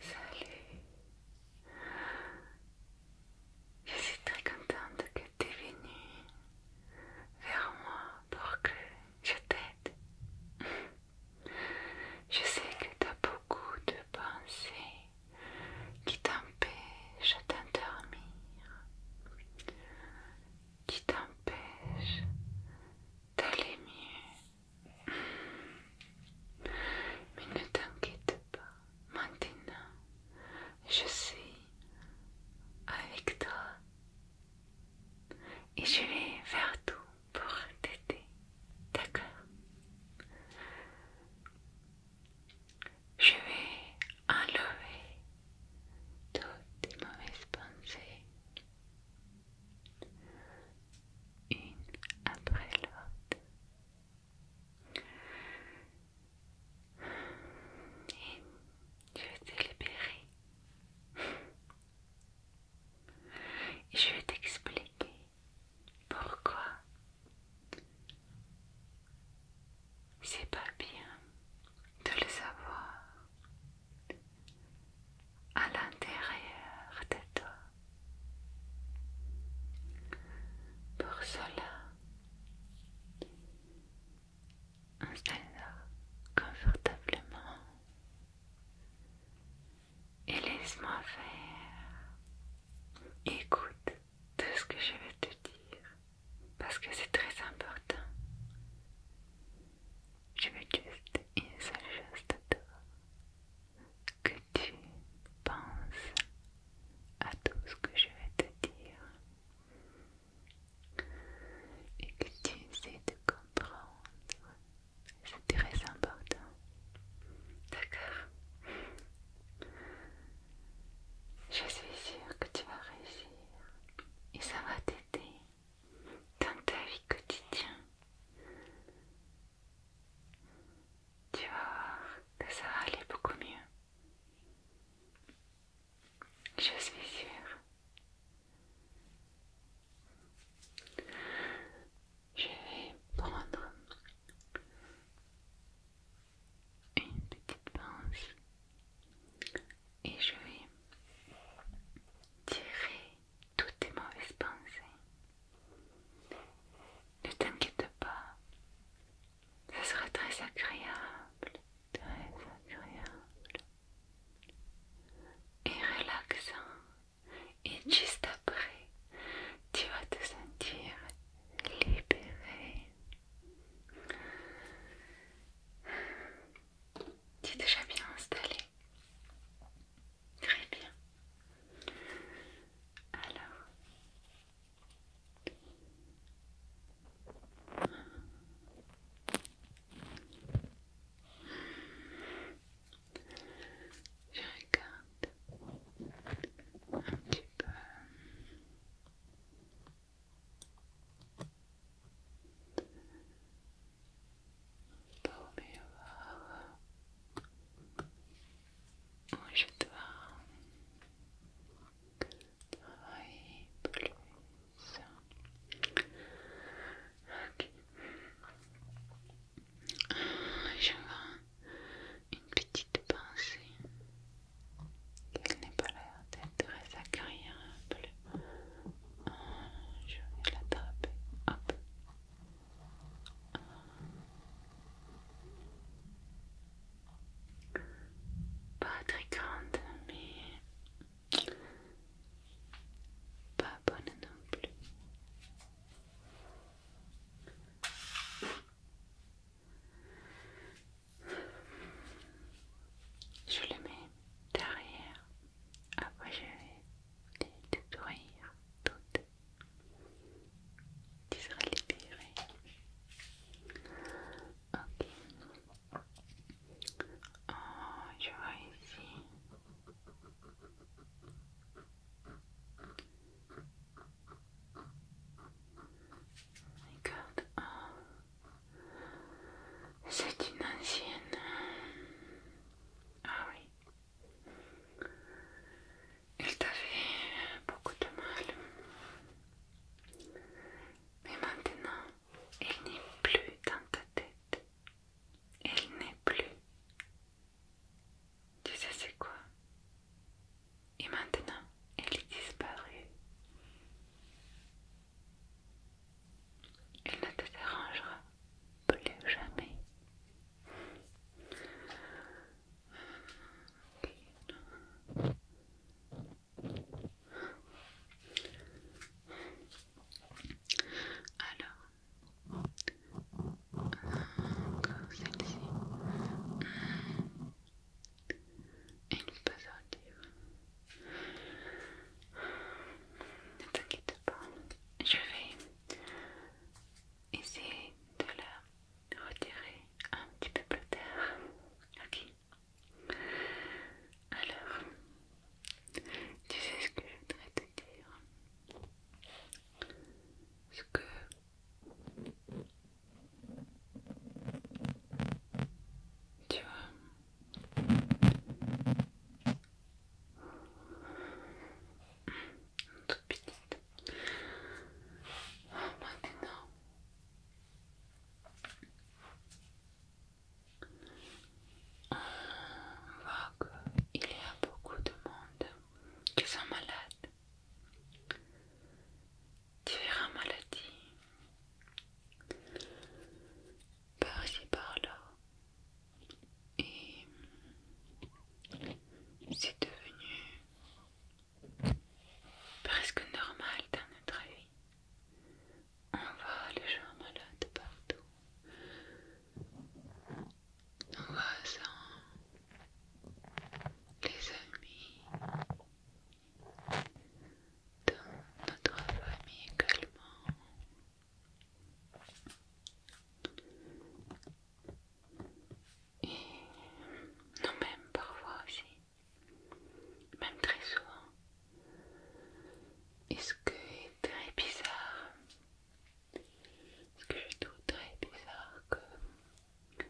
Salut Je suis très contente que tu es venue vers moi pour que je t'aide. Je sais que tu as beaucoup de pensées qui t'empêchent d'endormir, qui t'empêchent d'aller mieux. Mais ne t'inquiète pas, maintenant je suis avec toi et je vais faire tout pour t'aider, d'accord Je vais enlever toutes tes mauvaises pensées une après l'autre. Et je t'ai libérée. Je vais t'expliquer pourquoi c'est pas bien de le savoir à l'intérieur de toi. Pour cela, installe-toi confortablement et laisse-moi faire. Écoute tout ce que je vais te dire parce que c'est très important. Je veux juste une seule chose de toi que tu penses à tout ce que je vais te dire et que tu essaies de comprendre. C'est très important. D'accord Je suis sûre que tu vas réussir et ça va t'aider dans ta vie quotidienne. Tu vas voir que ça va aller beaucoup mieux. Je suis sûre. Je vais prendre une petite pince et je vais tirer toutes tes mauvaises pensées. Ne t'inquiète pas, ce sera très agréable, très agréable et relaxant. Et juste après, tu vas te sentir libéré. Tu es déjà bien installé Très bien. Alors. Je regarde un petit peu. Pour je dois une petite pensée qu'elle n'est pas l'air d'être très agréable je vais l'attraper, hop. Pas très grande, mais pas bonne non plus. Je le mets derrière ah, je vais les détruire toutes. Tu seras libérée. Ok. Oh, je vois ici. Regarde, oh. c'est une ancienne ah oui. Il t'a fait beaucoup de mal. Mais maintenant, elle n'est plus dans ta tête. Elle n'est plus. Tu sais c'est quoi Et maintenant, elle est disparu. Il ne te dérangera plus jamais. Alors, encore celle-ci. Une puzzle. Ne t'inquiète pas, je vais essayer de la retirer un petit peu plus tard. Ok Alors, tu sais ce que je voudrais te dire Ce que. Tu vois, toute petite. maintenant. Euh, on voit qu'il y a beaucoup de monde qui sont malades. Différentes maladies par ici par-là. Et c'est devenu presque normal dans notre vie. On voit les gens malades partout. Nos voisins, les amis, dans notre famille également. Et nous même parfois aussi, même très souvent. Et ce que est très bizarre, ce que je trouve très bizarre, que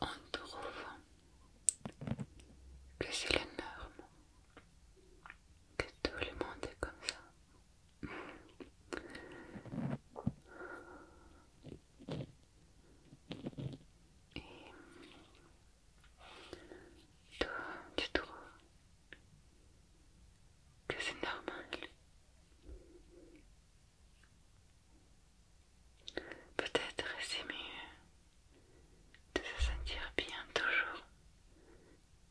on trouve que c'est la norme que tout le monde est comme ça. Et toi, tu trouves que c'est normal? Peut-être c'est mieux de se sentir bien toujours,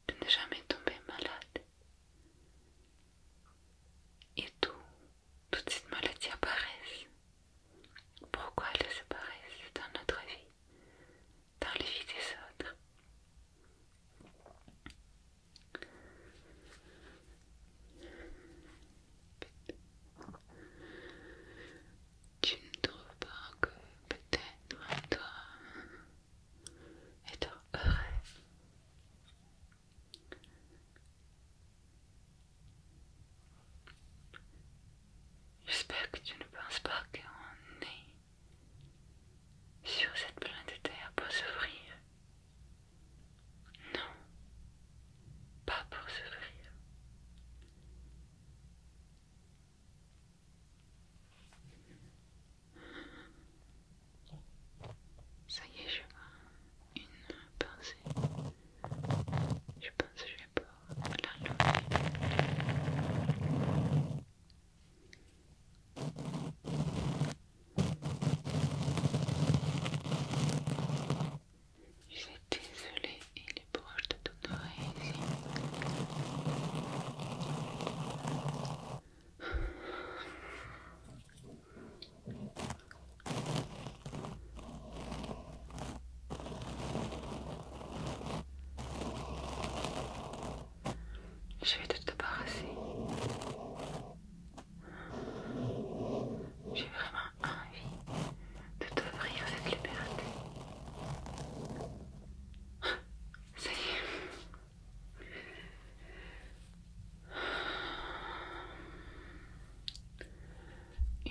de ne jamais tomber malade. Et tout, toutes ces maladies apparaissent. Pourquoi elles se paraissent dans notre vie, dans les vies des autres tu ne trouves pas que peut-être toi être heureux J'espère que tu ne penses pas qu'on est sur cette planète Terre pour s'ouvrir. Non, pas pour s'ouvrir. Ça y est, je vois une pensée. Je pense que je vais pouvoir l'enlever. Désolée, il est proche de ton oreille ici. Je vais te débarrasser. J'ai vraiment envie de t'offrir cette liberté. Ça y est.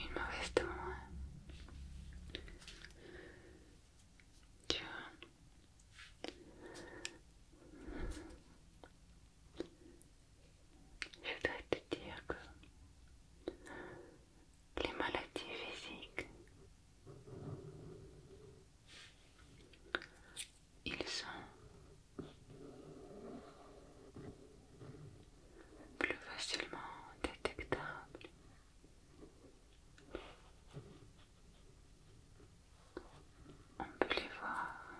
Une mauvaise tombe, Hein. Tu je voudrais te dire que les maladies physiques. Ils sont plus facilement détectables. On peut les voir,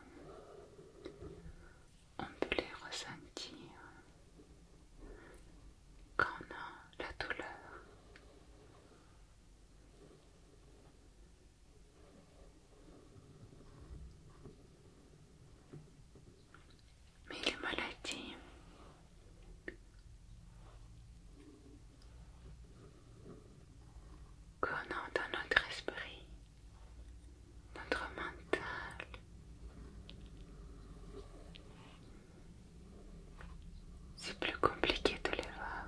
on peut les ressentir quand la douleur. Mais les maladies qu'on a dans notre esprit, notre mental, c'est plus compliqué de les voir.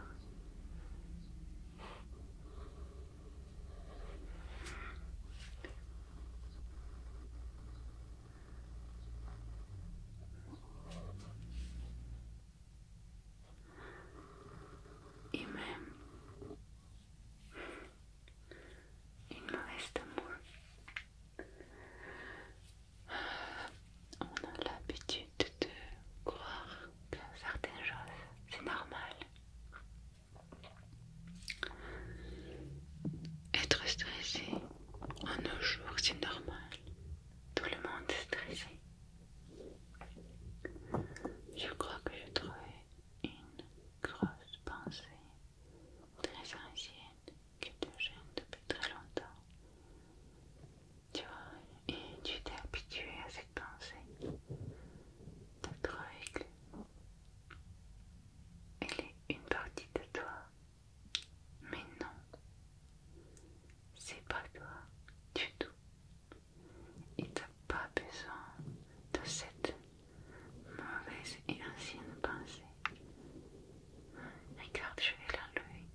Et même, il me reste moins. On a l'habitude de croire que certaines choses, c'est normal. Être stressé en nos jours, c'est normal. Tout le monde est stressé. Je crois que j'ai trouvé une grosse pensée très ancienne, qui te gêne depuis très longtemps. Tu vois, et tu t'es habitué à cette pensée d'être Elle est une partie de toi, mais non, c'est pas toi du tout. Et t'as pas besoin de cette mauvaise et ancienne pensée. Regarde, je vais l'enlever.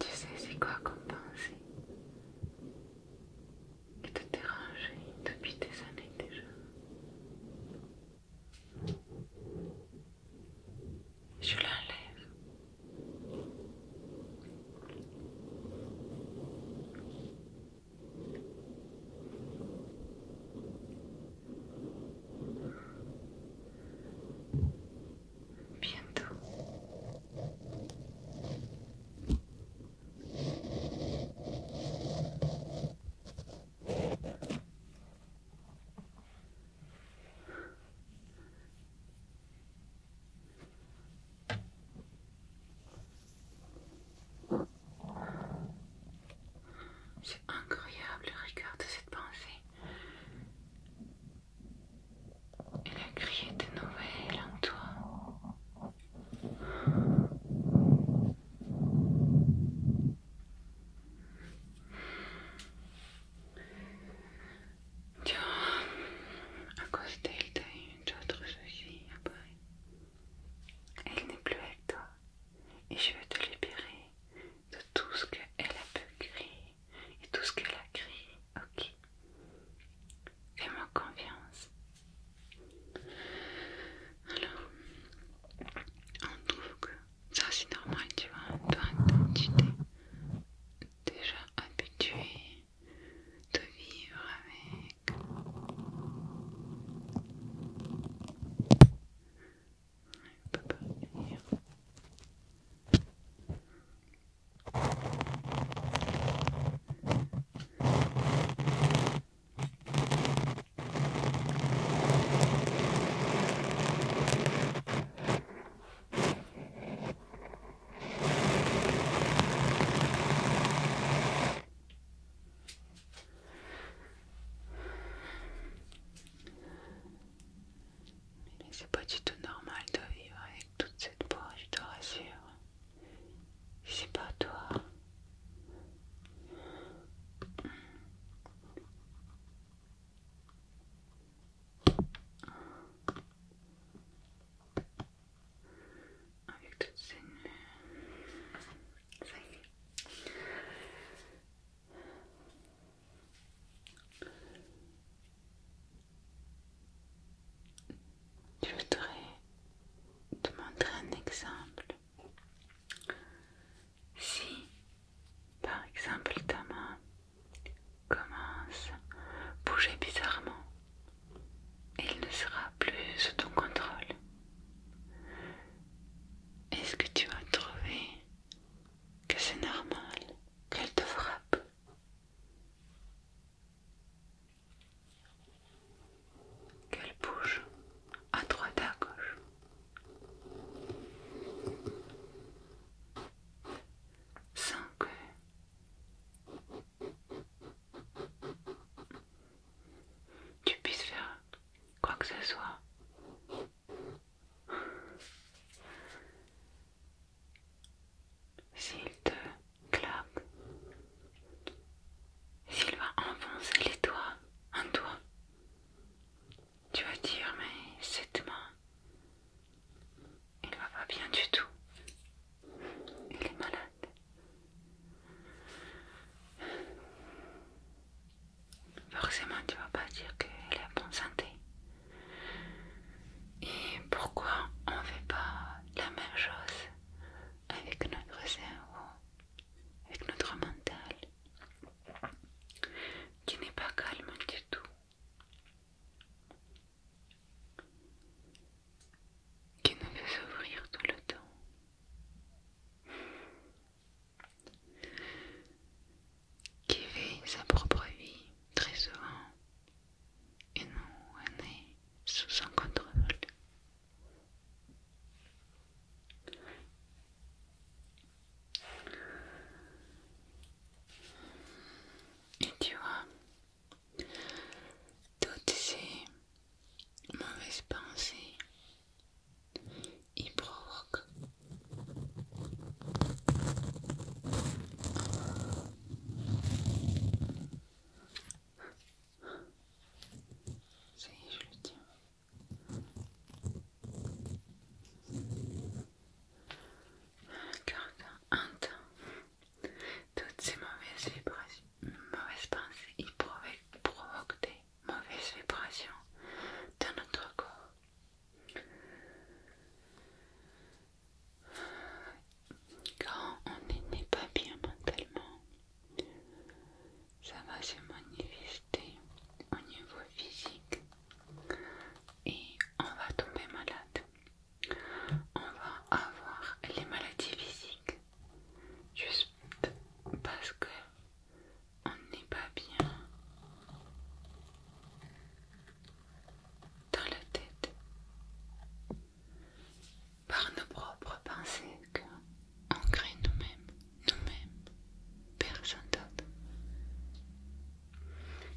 Tu sais, c'est quoi comme pensée qui te dérange depuis des années déjà? Je l'enlève. Bientôt. C'est incroyable le rigueur de cette pensée. elle a crié de nouvelles en toi à d'elle, tu as eu autre soucis après. Elle n'est plus avec toi et je veux te libérer de tout ce qu'elle a pu créer et tout ce qu'elle a créé. Ok. Fais-moi confiance. Alors, on trouve que ça c'est normal, tu vois. Toi, tu t'es déjà habitué de vivre avec. pas mais c'est pas du tout normal de vivre avec toute cette peau, je te rassure. C'est pas toi. Avec Je voudrais te montrer un exemple si, par exemple, ta main commence à bouger bizarrement, il ne sera plus sous ton contrôle. Est-ce que tu as trouvé que c'est normal qu'elle te frappe Qu'elle bouge à droite à gauche que tu puisses faire quoi que ce soit s'il te claque s'il va enfoncer les doigts en toi tu vas dire, mais cette main, elle va pas bien du tout. Elle est malade. Forcément, tu vas pas dire qu'elle est en bonne santé. Et pourquoi on fait pas la même chose avec notre cerveau, avec notre mental qui n'est pas calme du tout, qui nous veut s'ouvrir tout le temps, qui vit sa propre vie très souvent et nous on est sous son contrôle. Et tu vois, toutes ces mauvaises pensées, ils provoquent ça y est, je le tiens. Quand on entend Toutes ces mauvaises vibrations, mauvaises pensées, ils provoquent des mauvaises vibrations dans notre corps. Quand on n'est pas bien mentalement, ça va se manifester au niveau physique et on va tomber malade. On va avoir les maladies physiques juste parce que on n'est pas bien dans la tête par nos propres pensées on crée nous-mêmes, nous-mêmes, personne d'autre.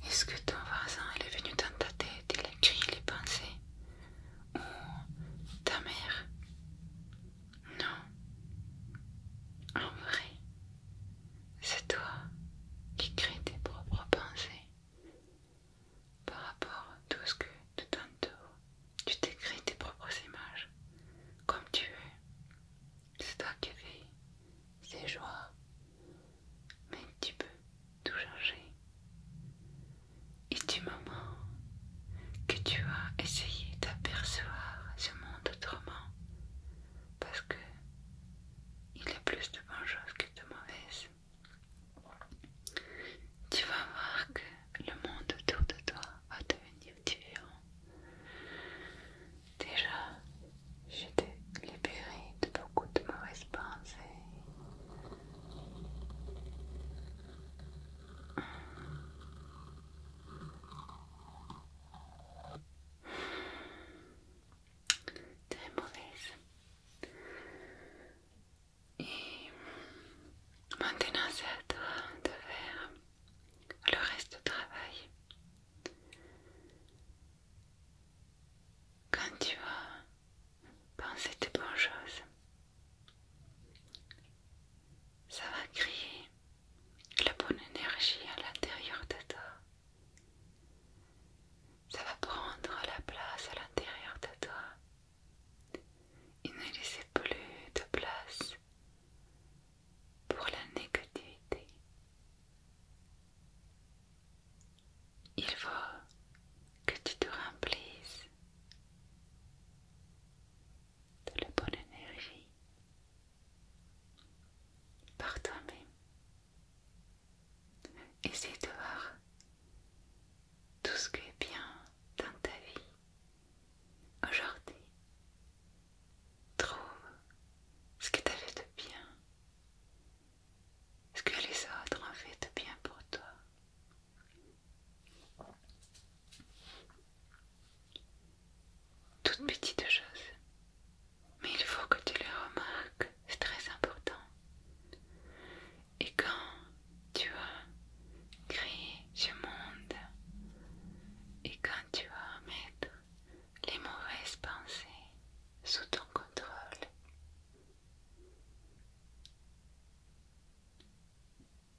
Est-ce que ton voisin est venu dans ta tête, il a créé les pensées Ou ta mère Non. En vrai, c'est toi qui crée tes propres pensées par rapport à tout ce que tu t'entends tu t'écris tes propres images comme tu es. C'est toi qui écris ces joies, mais tu peux tout changer. Et du moment que tu as essayé d'apercevoir ce monde autrement, parce que il y a plus de bonnes choses que de mauvaises, tu vas voir que le monde autour de toi va devenir Déjà, j'étais libérée de beaucoup de mauvaises pensées. Très mauvaises. Et Maintenant, c'est à toi de faire le reste du travail. Quand tu vas penser des bonnes choses, ça va créer la bonne énergie à l'intérieur de toi. Ça va prendre la place à l'intérieur de toi il ne laissait plus de place pour la négativité. Il faut que tu te remplisses de la bonne énergie par toi-même. Essaye de voir tout ce qui est bien dans ta vie Aujourd'hui, trouve ce que tu fait de bien, ce que les autres ont fait de bien pour toi. Toutes petites choses, mais il faut que tu les remarques, c'est très important. Et quand tu as créé ce monde, et quand tu vas mettre les mauvaises pensées sous ton contrôle,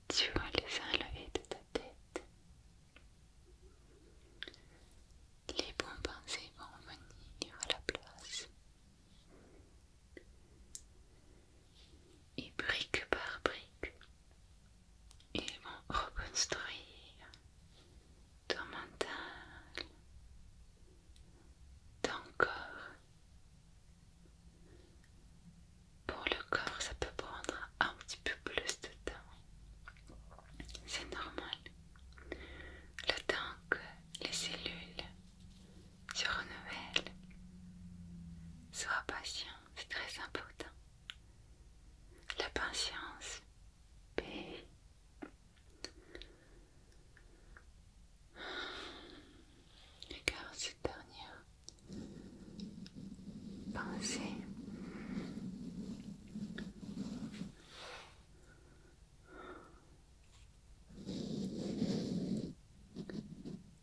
tu vas les enlever de ta tête. Les bonnes pensées vont venir à la place. Et brique par brique, ils vont reconstruire ton mental, ton corps. Pour le corps, ça peut prendre un petit peu plus de temps. C'est normal. Le temps que les cellules tu nouvelle, Sois patient, c'est très important. La patience et Regarde cette dernière pensée.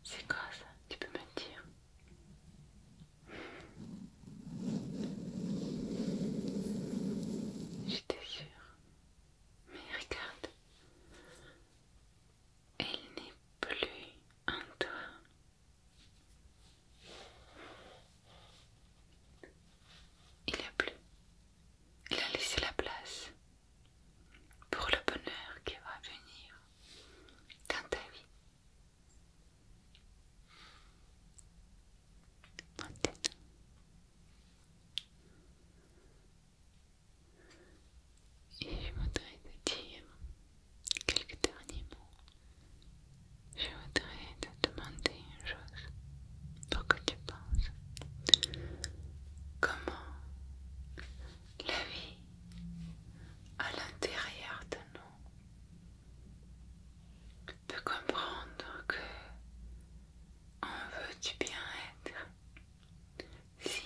C'est quoi ça Tu peux me dire J'étais sûre. Mais regarde. Elle n'est plus en toi. Il a plus. Il a laissé la place pour le bonheur qui va venir dans ta vie. Maintenant, et je voudrais te dire quelques derniers mots. Je voudrais te demander une chose pour que tu penses comment la vie à l'intérieur de nous peut comprendre que on veut du bien-être si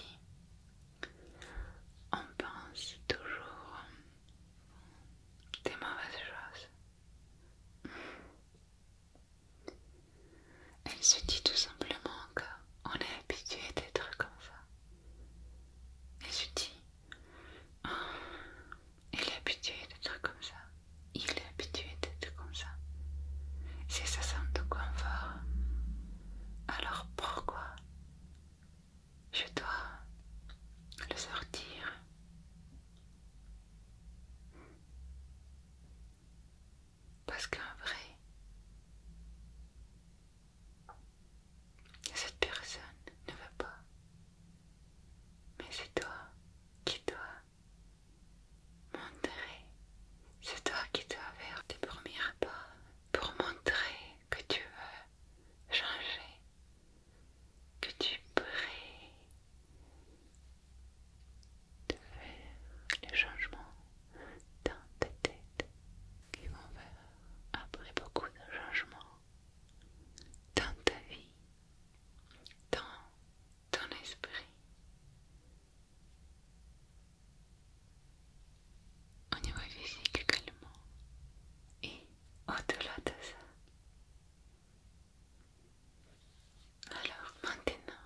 on pense toujours des mauvaises choses. Elle se dit tout simplement qu'on est habitué d'être comme ça. Elle se dit, oh, il est habitué d'être comme ça. Il est habitué d'être comme ça. si ça sent de confort. Alors pourquoi je dois le sortir parce qu'un vrai, cette personne ne veut pas. Mais c'est toi qui dois montrer, c'est toi qui dois faire tes premiers pas pour montrer que tu veux changer, que tu pourrais de faire les changements dans ta tête qui vont faire après beaucoup de changements dans ta vie, dans ton esprit. Au niveau physique également et au-delà de ça. Alors maintenant,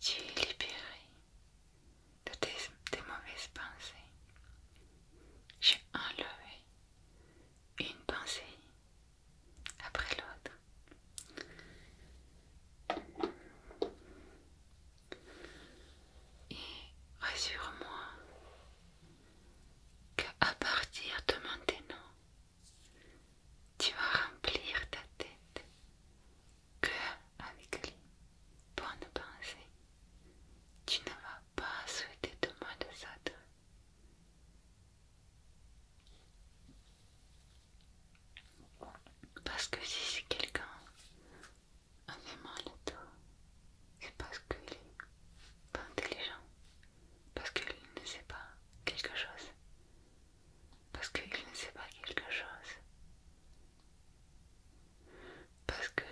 tu es libéré de tes, mauvaises pensées. J'ai enlevé une pensée après l'autre. Et rassure-moi qu'à partir de maintenant, tu vas remplir ta tête que avec lui. pour pas penser tu ne vas pas souhaiter de moi de ça Parce que si c'est quelqu'un en aimant mal à c'est parce qu'il est pas intelligent, parce qu'il ne sait pas quelque chose parce qu'il ne sait pas quelque chose, parce que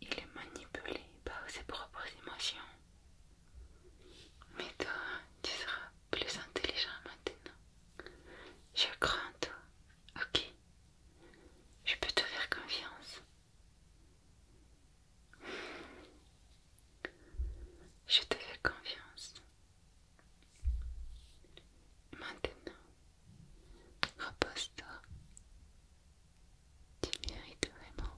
il est manipulé par ses propres émotions. Mais toi, tu seras plus intelligent maintenant. Je crois en toi, ok Je peux te faire confiance. Je te fais confiance. Maintenant, repose-toi. Tu mérites vraiment.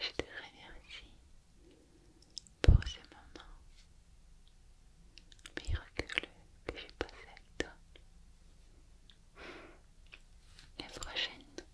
Je te remercie pour ce moment miraculeux que j'ai passé avec toi. La prochaine.